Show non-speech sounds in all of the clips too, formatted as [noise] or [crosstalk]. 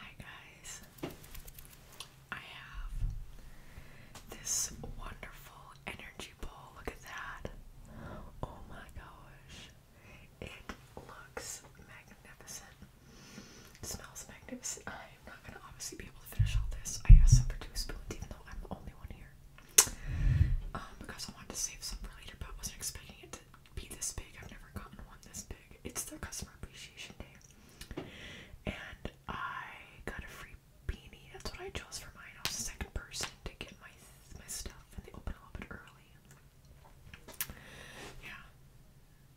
Hi guys. I have this wonderful energy ball. Look at that. Oh my gosh. It looks magnificent. It smells magnificent. I'm not gonna obviously be able to finish all this. I asked some for two spoons even though I'm the only one here. Um, because I wanted to save some for later but I wasn't expecting it to be this big. I've never gotten one this big. It's their customer appreciation day. And I got a free beanie. That's what I chose for mine. I was the second person to get my my stuff and they open a little bit early. Yeah.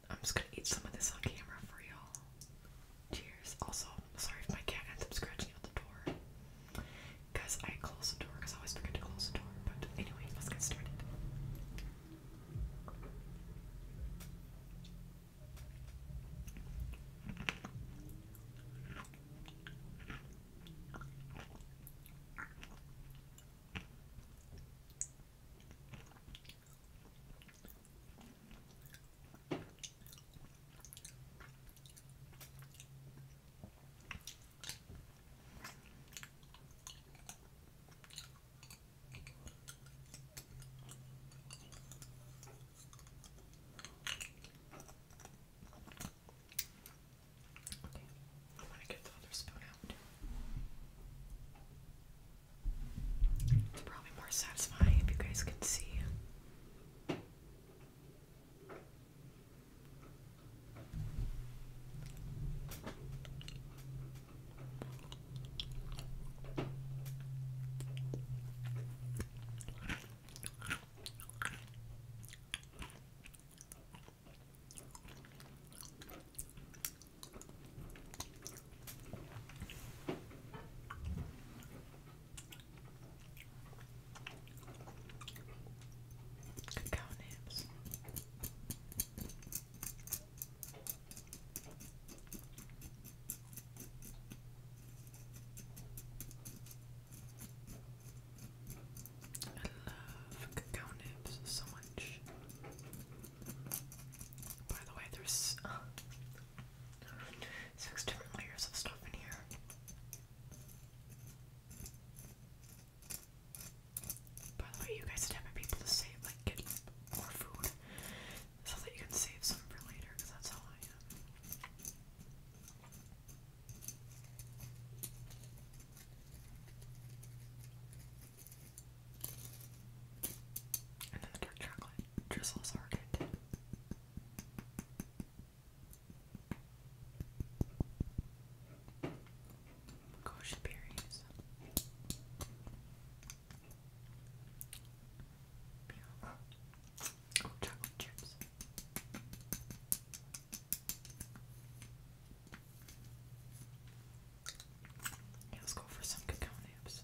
I'm just gonna eat some of this on camera for y'all. Cheers. Also, sorry if my cat ends up scratching out the door. Because I closed the I always forget to close the door. But anyway, let's get started. I'm to get the other spoon out. It's probably more satisfying if you guys can see. Cacao nibs love cacao nibs so much. By the way, there's uh, six different layers of stuff in here. By the way, you guys should have people to save, like, get more food so that you can save some for later, because that's how I am. And then the dark chocolate drizzles are good. Gosh oh, berries. chocolate chips. let's go for some cacao nibs.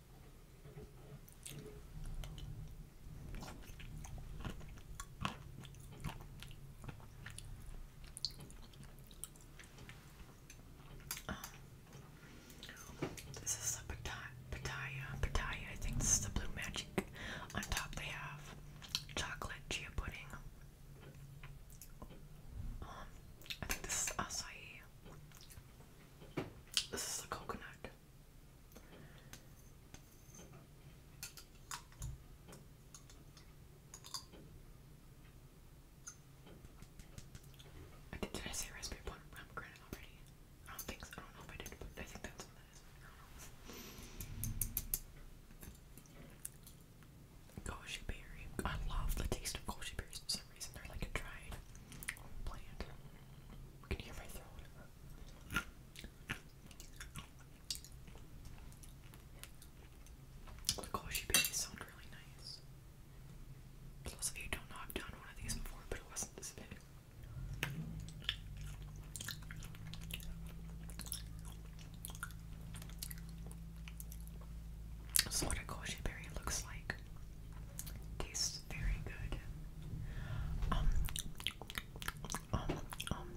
this is the Pattaya, Pattaya. I think this is the Blue Magic. On top, they have chocolate chia pudding. Um, I think this is acai. This is the coconut. I did, I say raspberry pomegranate already? I don't think so. I don't know if I did, I think that's what that is. berry. I love the taste of goji berries some berries sound really nice. those of you don't know, I've done one of these before, but it wasn't this big. This what a goshi berry looks like. Tastes very good. Um, um, um,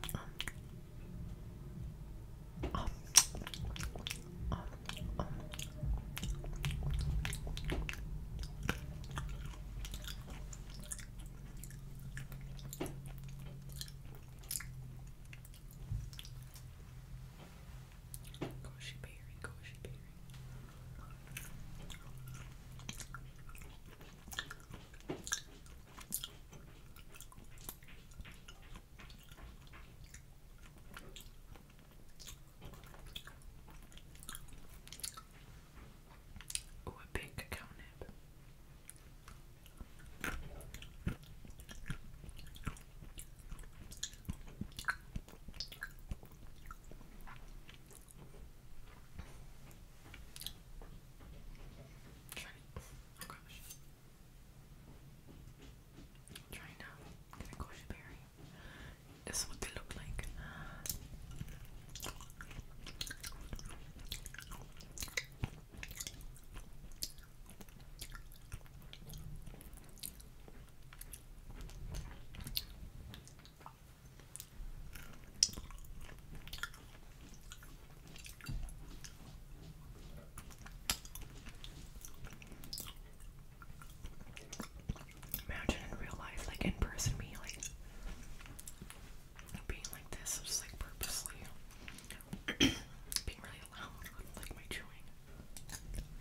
Goshi berry, goshi berry. Oh, a big cow nib. Try oh gosh. Try now. Get a goji berry. This is what they look like. Uh, Imagine in real life, like in person, me being like this, just like purposely [coughs] being really loud like my chewing.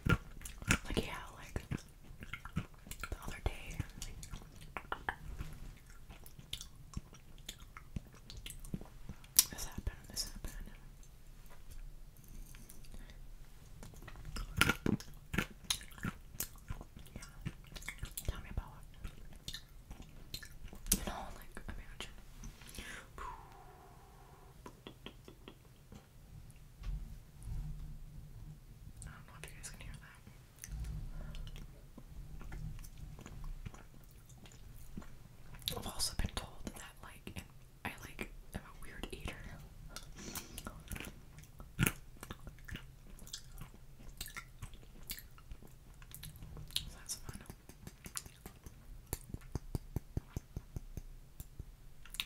Like yeah, like the other day. this happened, this happened. Yeah. Tell me about it. You know, like, imagine. I don't know if you guys can hear that. I've also been told that like and I like am a weird eater.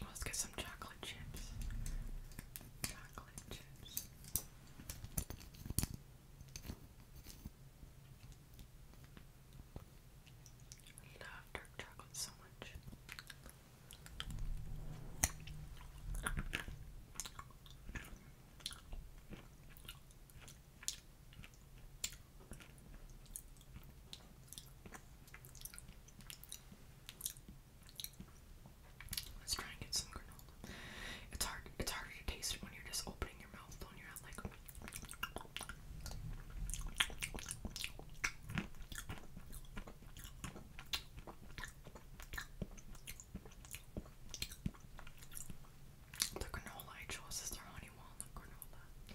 Let's get some chocolate chips. Chocolate chips. I love dark chocolate so much. Let's try and get some granola. It's hard. It's harder to taste it when you're just opening your mouth when you're like. The granola I chose is their honey walnut granola.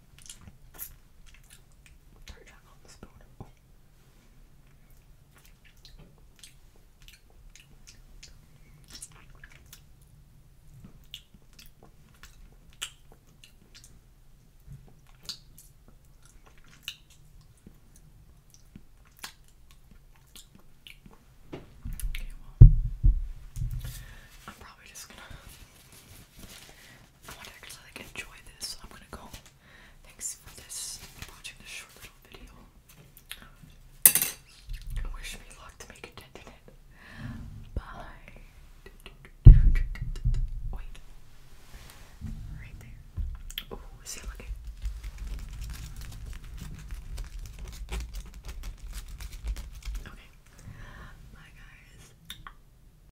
Turn it on the spoon. Oh. Okay, well, I'm probably just gonna I want to actually like enjoy this. So I'm gonna go. Thanks for this watching this short little video. Wish me luck to make a dent in it. Bye. Wait. Right there. Oh, see look at Okay. Bye guys.